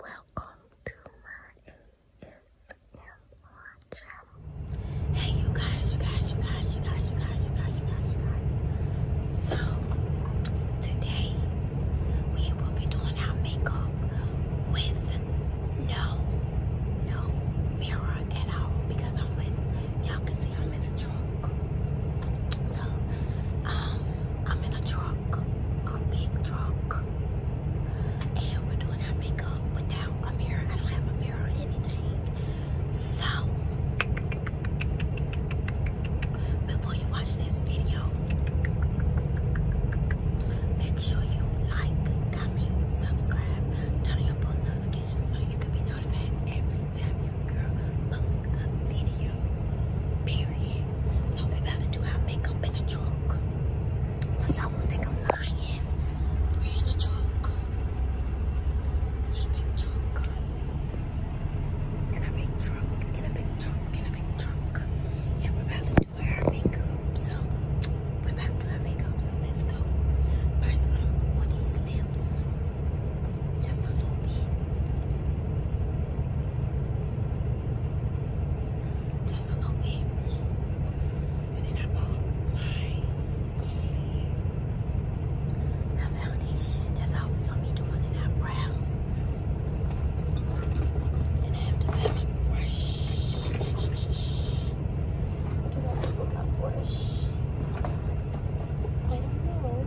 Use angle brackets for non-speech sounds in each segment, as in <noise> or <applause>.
Welcome to my ASMR channel. Hey you guys, you guys, you guys, you guys, you guys, you guys, you guys, you guys. So today we will be doing our makeup with no, no mirror at all because I'm in y'all can see I'm in a truck. So um I'm in a truck a big truck, and we're doing our makeup without a mirror. I don't have a mirror or anything. So, before you watch this video, make sure you like, comment, subscribe, turn on your post notifications so you can be notified every time your girl posts a video. Period. So we about to do our makeup in the truck. So y'all won't think I'm lying. We're in a truck. In a truck. In a truck. In a truck. In a truck. yeah, we're about to do our makeup. So we're about to do our makeup. So let's go. First I'm these lips. Just a little bit. Just a little bit. And then I bought my, uh, foundation. That's all we're going to be doing in our brows. And I have to find my brush. Where did I put brush? I don't know.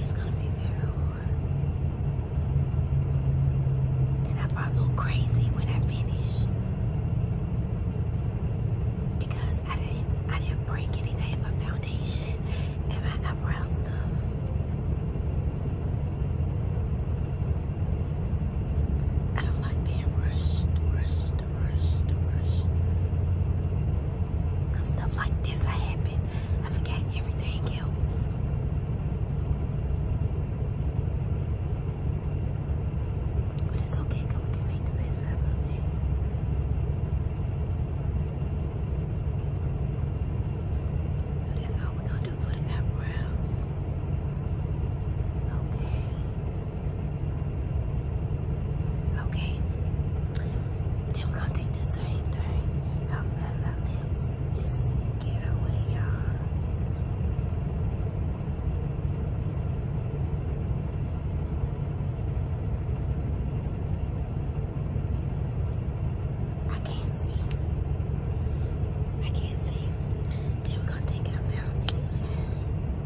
It's gonna be very hard. And I probably look crazy when I finish. Because I didn't I didn't break anything, my foundation and my eyebrow stuff. I don't like being rushed, rushed. Cause stuff like this happen. I forget everything else. But it's okay, we can make the best out of it. So that's all we're gonna do for eyebrows. Okay. Okay. Then we're gonna take the same thing out of lips. This is the getaway, y'all. I can't see. I can't see. Then we're gonna take our foundation. Take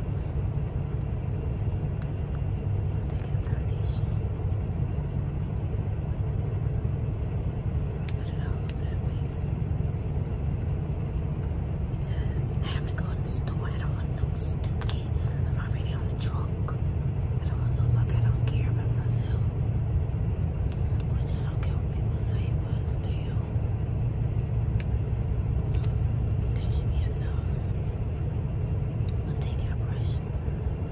it all over Because I have to go in the store. I don't want to look I'm already on the trunk. I don't want to look I don't care about myself. Which I don't care what people say, but still. That should be enough. I'm gonna brush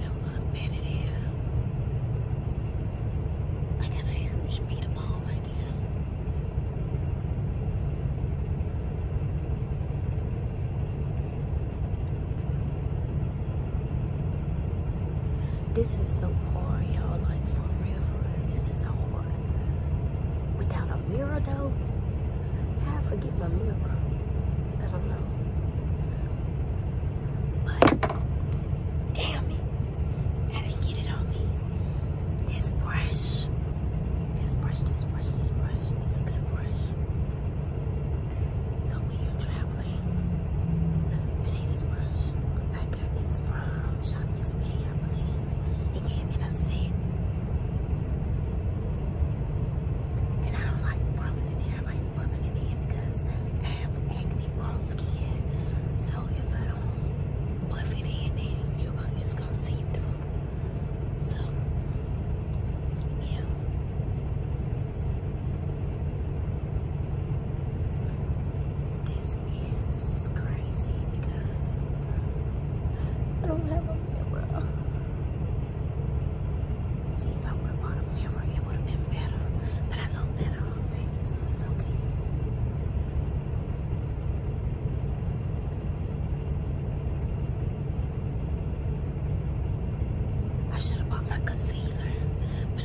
I'm gonna bend it in. I got a huge beat of ball right there. This is so hard, y'all. Like for This is hard. Without a mirror, though? How I forget my mirror? I don't know. But, damn it. I didn't get it on me. This brush. This brush, this brush, this brush. It's a good brush. So when you're traveling, you need brush. I got this from Shop Miss A, I believe it gave me a set. And I don't like buffing it in. I like buffing it in because I have acne prone skin. So if I don't buff it in, then you're gonna, it's going to seep through. So, yeah. This is crazy because I don't have a mirror. See, if I would have bought a mirror, it would have been better. But I know better so it's okay. I should have bought my concealer, but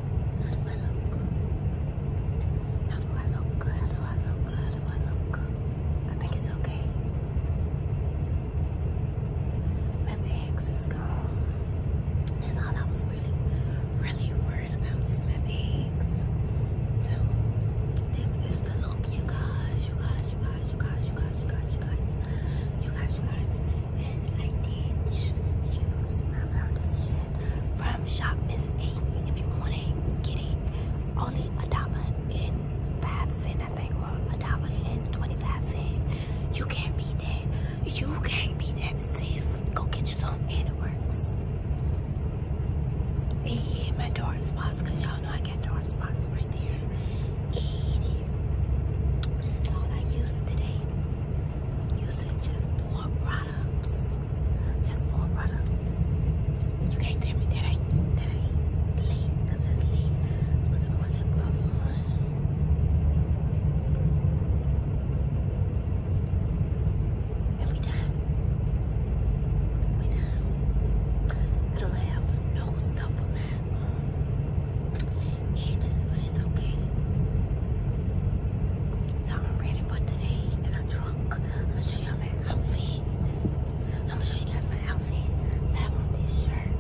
How do I look? How do I look? How do I look? How do I look? I think it's okay. Maybe Hicks is gone. That's all I was really, really worried about is my bags. So this is the look, you guys, you guys, you guys, you guys, you guys. You guys, you guys. I did just use my foundation from Shop Miss A. If you want it, Only a dollar and five cent, I think, or a dollar and twenty-five cent. You can't beat that. You can't beat that, sis. Go get you some, and it works. And my dark spots, you y'all know I got dark spots right there. And this is all I use today. Using just four products. Just four products. You can't tell me that ain't that ain't late because it's late. Put some lip gloss on. And we done. We I don't have no stuff for mouth. And just, but it's okay. So I'm ready for today and I'm drunk. I'm gonna show y'all my outfit. I'm gonna show you guys my outfit. I have on this shirt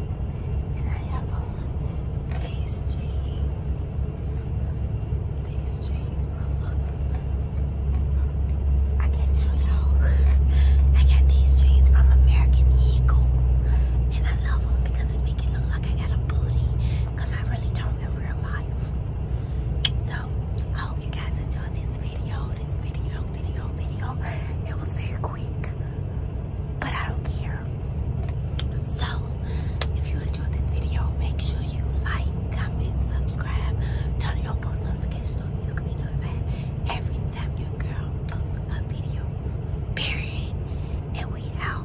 and I have on these jeans. These jeans from uh, I can't show y'all. <laughs> I got these jeans from American Eagle and I love them because doesn't make it look like I got a booty because I really don't in real life. So I hope you guys enjoyed this video, this video, video, video. It was very quick, but I don't care. So if you enjoyed this video, make sure you like, comment, subscribe, turn your post notifications so you can be notified every time your girl posts a video. Period. And we out.